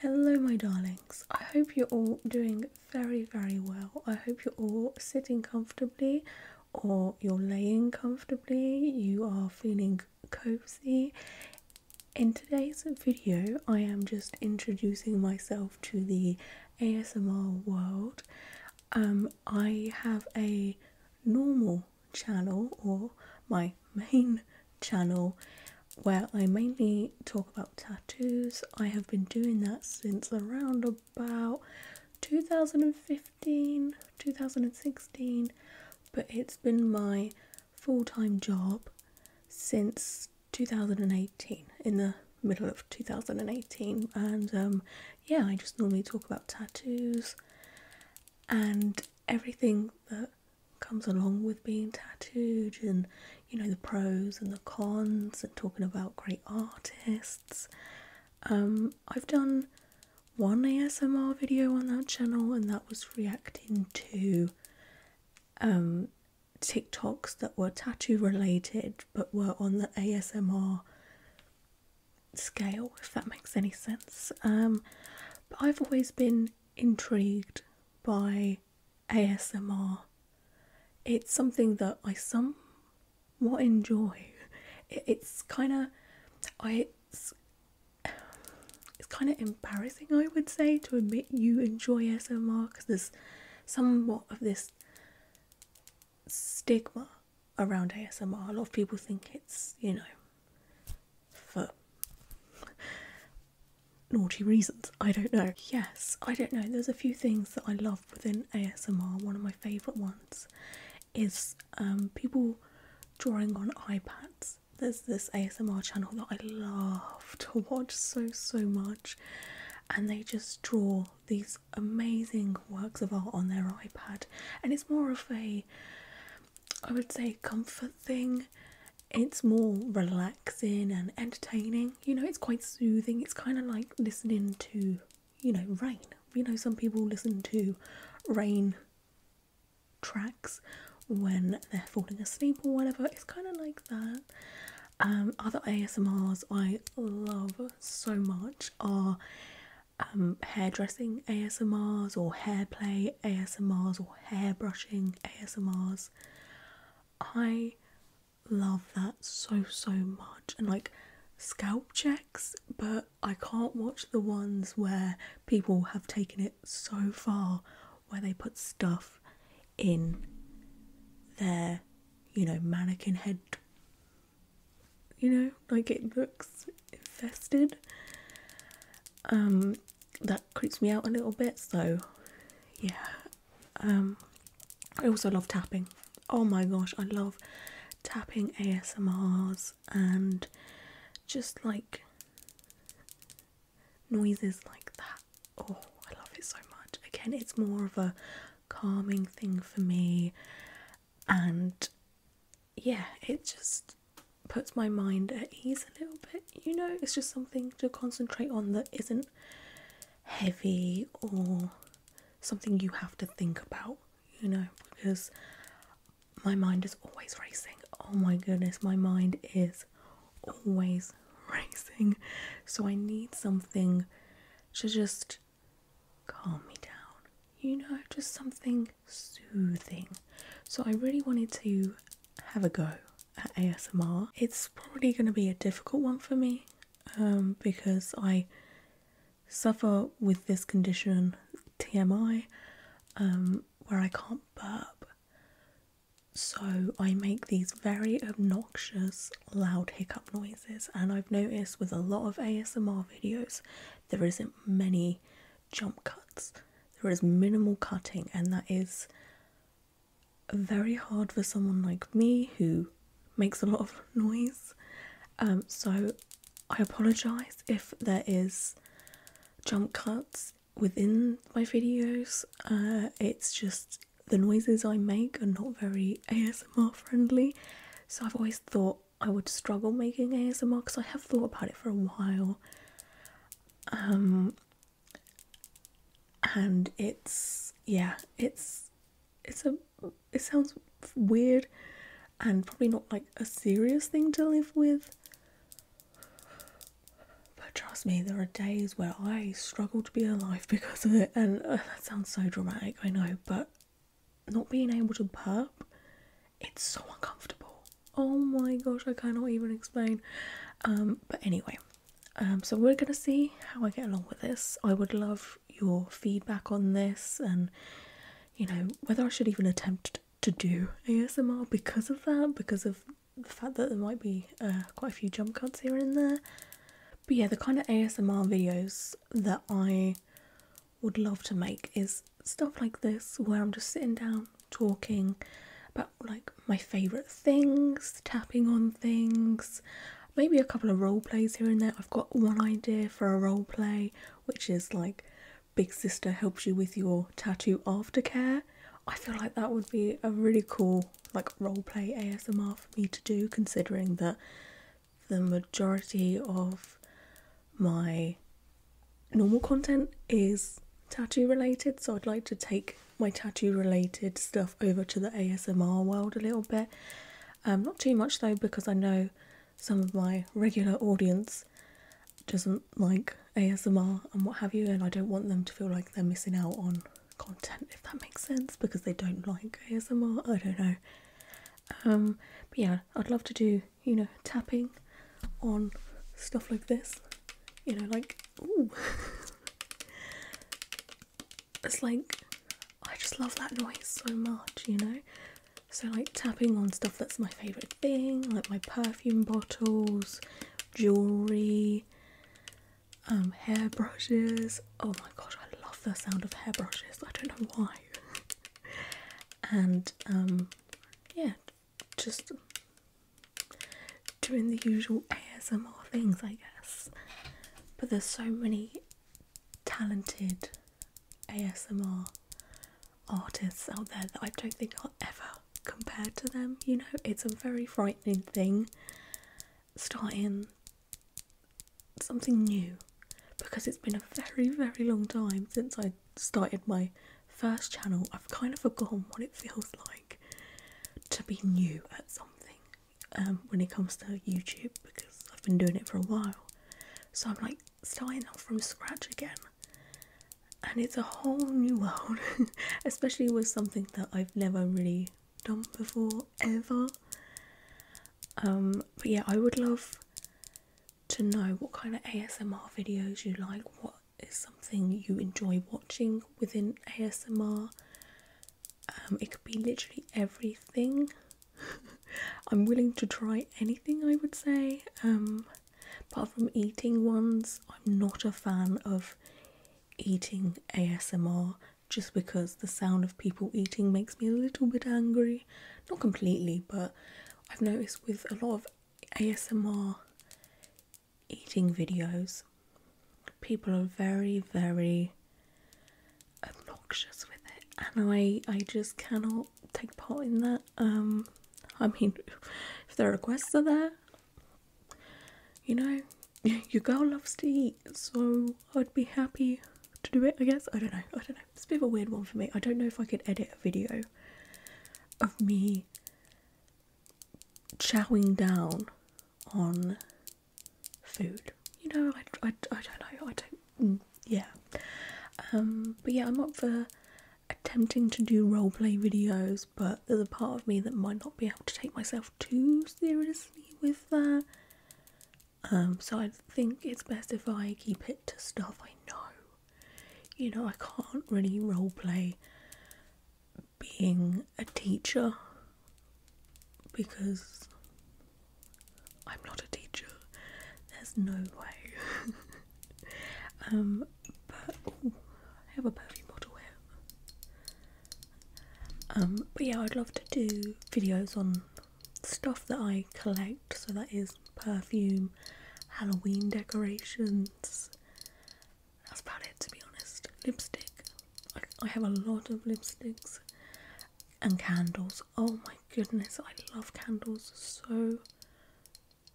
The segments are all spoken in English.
Hello, my darlings. I hope you're all doing very, very well. I hope you're all sitting comfortably or you're laying comfortably, you are feeling cozy. In today's video, I am just introducing myself to the ASMR world. Um, I have a normal channel or my main channel where I mainly talk about tattoos. I have been doing that since around about 2015, 2016, but it's been my full time job since 2018, in the middle of 2018. And um, yeah, I just normally talk about tattoos and everything that comes along with being tattooed and you know the pros and the cons and talking about great artists um, i've done one asmr video on that channel and that was reacting to um, tiktoks that were tattoo related but were on the asmr scale if that makes any sense um, but i've always been intrigued by ASMR. It's something that I somewhat enjoy. it's kind of, it's, it's kind of embarrassing, I would say, to admit you enjoy ASMR because there's somewhat of this stigma around ASMR. A lot of people think it's, you know, for naughty reasons. I don't know. Yes, I don't know. There's a few things that I love within ASMR. One of my favourite ones is um, people drawing on iPads. There's this ASMR channel that I love to watch so, so much, and they just draw these amazing works of art on their iPad, and it's more of a I would say comfort thing it's more relaxing and entertaining. You know, it's quite soothing. It's kind of like listening to, you know, rain. You know, some people listen to rain tracks when they're falling asleep or whatever. It's kind of like that. Um, other ASMRs I love so much are um, hairdressing ASMRs or hair play ASMRs or hair brushing ASMRs. I love that so so much and like scalp checks, but I can't watch the ones where people have taken it so far where they put stuff in their, you know, mannequin head. You know, like it looks infested. Um that creeps me out a little bit. So, yeah. Um, I also love tapping. Oh my gosh, I love tapping ASMRs and just like noises like that. Oh, I love it so much. Again, it's more of a calming thing for me, and yeah, it just puts my mind at ease a little bit. You know, it's just something to concentrate on that isn't heavy or something you have to think about, you know, because my mind is always racing. Oh my goodness, my mind is always racing. So I need something to just calm me down, you know, just something soothing. So I really wanted to have a go at ASMR. It's probably going to be a difficult one for me um, because I suffer with this condition, TMI, um, where I can't burp. So I make these very obnoxious loud hiccup noises and I've noticed with a lot of ASMR videos there isn't many jump cuts. There is minimal cutting, and that is very hard for someone like me who makes a lot of noise. Um, so I apologize if there is jump cuts within my videos. Uh, it's just the noises I make are not very ASMR friendly. So I've always thought I would struggle making ASMR because I have thought about it for a while. Um, and it's yeah, it's it's a it sounds weird and probably not like a serious thing to live with. But trust me, there are days where I struggle to be alive because of it, and uh, that sounds so dramatic, I know, but not being able to burp, it's so uncomfortable. Oh my gosh, I cannot even explain. Um, but anyway, um, so we're gonna see how I get along with this. I would love your feedback on this and you know whether I should even attempt to do ASMR because of that, because of the fact that there might be uh, quite a few jump cuts here and there. But yeah, the kind of ASMR videos that I would love to make is stuff like this where I'm just sitting down talking about like my favourite things, tapping on things, maybe a couple of role plays here and there. I've got one idea for a role play, which is like Big Sister helps you with your tattoo aftercare. I feel like that would be a really cool like role play ASMR for me to do, considering that the majority of my normal content is tattoo related, so I'd like to take my tattoo related stuff over to the ASMR world a little bit. Um, not too much though, because I know some of my regular audience doesn't like ASMR and what have you, and I don't want them to feel like they're missing out on content, if that makes sense, because they don't like ASMR. I don't know. Um, but yeah, uh, I'd love to do, you know, tapping on stuff like this. You know, like, ooh. it's like, I just love that noise so much, you know? So, like, tapping on stuff that's my favourite thing, like my perfume bottles, jewellery, um, hairbrushes. Oh my gosh, I love the sound of hairbrushes. I don't know why. and um, yeah, just doing the usual ASMR things, I guess. But there's so many talented ASMR artists out there that I don't think I'll ever compare to them. You know, it's a very frightening thing starting something new because it's been a very, very long time since I started my first channel. I've kind of forgotten what it feels like to be new at something um, when it comes to YouTube because I've been doing it for a while. So I'm like starting off from scratch again. And it's a whole new world, especially with something that I've never really done before, ever. Um, but yeah, I would love to know what kind of ASMR videos you like. What is something you enjoy watching within ASMR? Um, it could be literally everything. I'm willing to try anything, I would say. Um, apart from eating ones, I'm not a fan of eating ASMR just because the sound of people eating makes me a little bit angry. Not completely, but I've noticed with a lot of ASMR eating videos, people are very, very obnoxious with it, and I I just cannot take part in that. Um, I mean, if the requests are there, you know, your girl loves to eat so I'd be happy to do it, I guess. I don't know, I don't know. It's a bit of a weird one for me. I don't know if I could edit a video of me chowing down on food. You know, I, I, don't know, I don't, mm, yeah. Um, but yeah, I'm up for attempting to do roleplay videos, but there's a part of me that might not be able to take myself too seriously with that. Um, so I think it's best if I keep it to stuff I know. You know, I can't really role play being a teacher because I'm not a teacher. There's no way. um, but I have a perfume bottle here. Um, but yeah, I'd love to do videos on stuff that I collect, so that is perfume, Halloween decorations. That's about it to be honest. Lipstick. I, have a lot of lipsticks and candles. Oh my goodness, I love candles so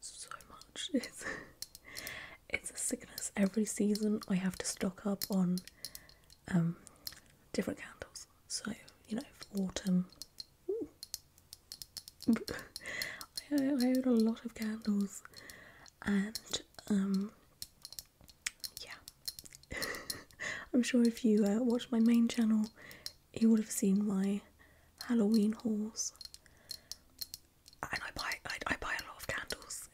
so much. It's it's a sickness. Every season I have to stock up on um, different candles. So, you know, for autumn. I, own a lot of candles and um yeah. I'm sure if you uh, watch my main channel you would have seen my Halloween hauls. And I buy I, buy a lot of candles.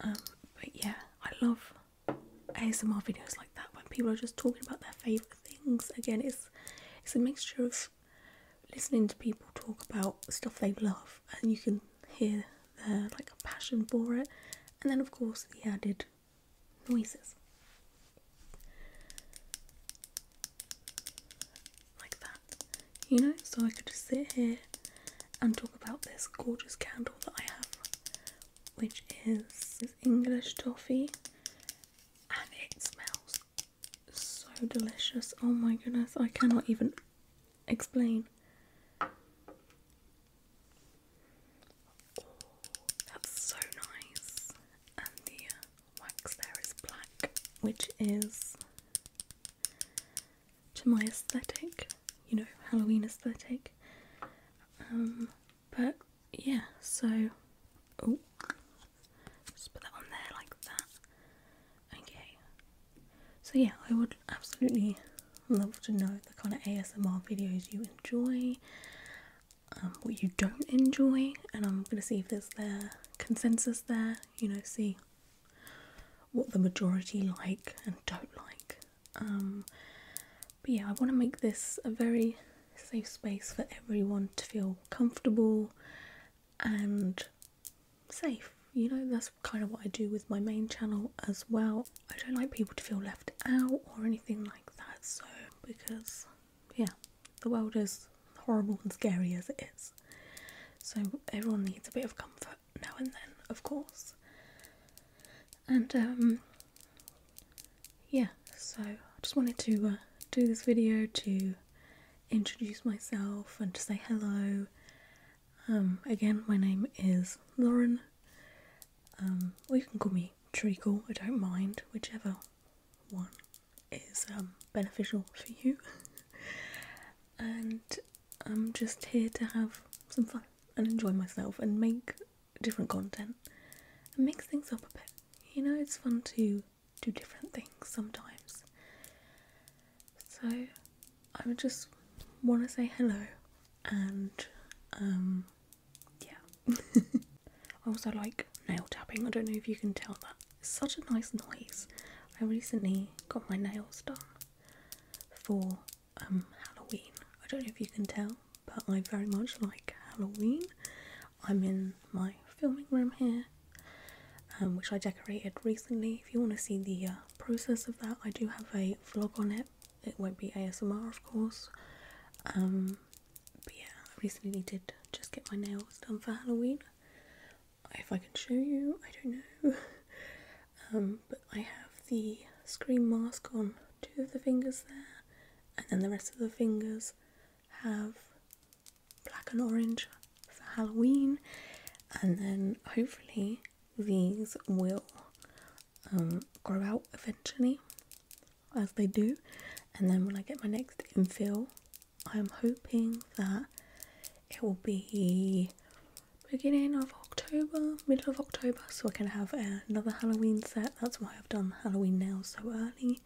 Um, but yeah, I love ASMR videos like that when people are just talking about their favourite things. Again, it's it's a mixture of listening to people talk about stuff they love and you can hear their like passion for it and then of course the added noises. Like that you know, so I could just sit here and talk about this gorgeous candle that I have, which is English toffee, and it smells so delicious. Oh my goodness, I cannot even explain. that's so nice. And the uh, wax there is black, which is to my aesthetic you know, Halloween aesthetic. Um, but yeah, so oh, just put that on there like that. Okay. So yeah, I would absolutely love to know the kind of ASMR videos you enjoy, um, what you don't enjoy, and I'm gonna see if there's their consensus there. You know, see what the majority like and don't like. Um, but yeah, I want to make this a very safe space for everyone to feel comfortable and safe. You know, that's kind of what I do with my main channel as well. I don't like people to feel left out or anything like that, so because, yeah, the world is horrible and scary as it is. So everyone needs a bit of comfort now and then, of course. And um, yeah, so I just wanted to uh, do this video to introduce myself and to say hello. Um, again, my name is Lauren. Um, or you can call me Treacle, I don't mind, whichever one is um, beneficial for you. and I'm just here to have some fun and enjoy myself and make different content and mix things up a bit. You know, it's fun to do different things sometimes. So, I would just want to say hello and, um, yeah. I also like nail tapping. I don't know if you can tell that such a nice noise. I recently got my nails done for um, Halloween. I don't know if you can tell, but I very much like Halloween. I'm in my filming room here, um, which I decorated recently. If you want to see the uh, process of that, I do have a vlog on it. It won't be ASMR, of course. Um, but yeah, I recently did just get my nails done for Halloween if I can show you, I don't know. Um, but I have the screen mask on two of the fingers there, and then the rest of the fingers have black and orange for Halloween, and then hopefully these will um, grow out eventually, as they do. And then when I get my next infill, I'm hoping that it will be beginning of October, middle of October, so I can have another Halloween set. That's why I've done Halloween nails so early,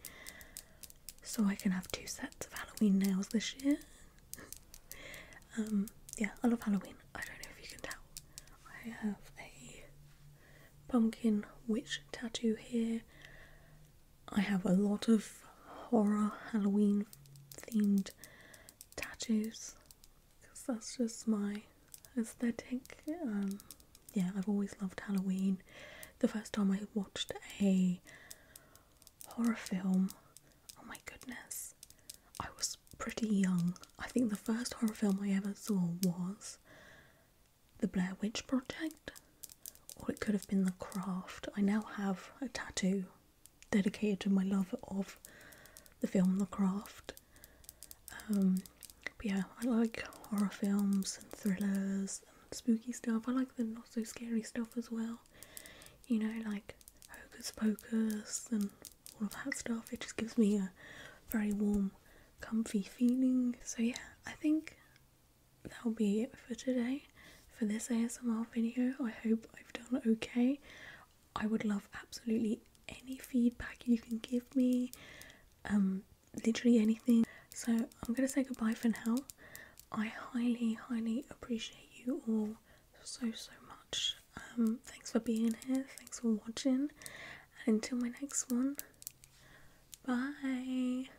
so I can have two sets of Halloween nails this year. um, yeah, I love Halloween. I don't know if you can tell. I have a pumpkin witch tattoo here. I have a lot of horror Halloween themed tattoos because that's just my aesthetic. Um, yeah, I've always loved Halloween. The first time I watched a horror film, oh my goodness, I was pretty young. I think the first horror film I ever saw was The Blair Witch Project or it could have been the craft. I now have a tattoo dedicated to my love of the film The Craft. Um, but yeah, I like horror films and thrillers and spooky stuff. I like the not so scary stuff as well. You know, like Hocus Pocus and all of that stuff. It just gives me a very warm, comfy feeling. So yeah, I think that'll be it for today for this ASMR video. I hope I've done okay. I would love absolutely any feedback you can give me, um, literally anything. So I'm going to say goodbye for now. I highly, highly appreciate you all so, so much. Um, thanks for being here. Thanks for watching. And until my next one, bye.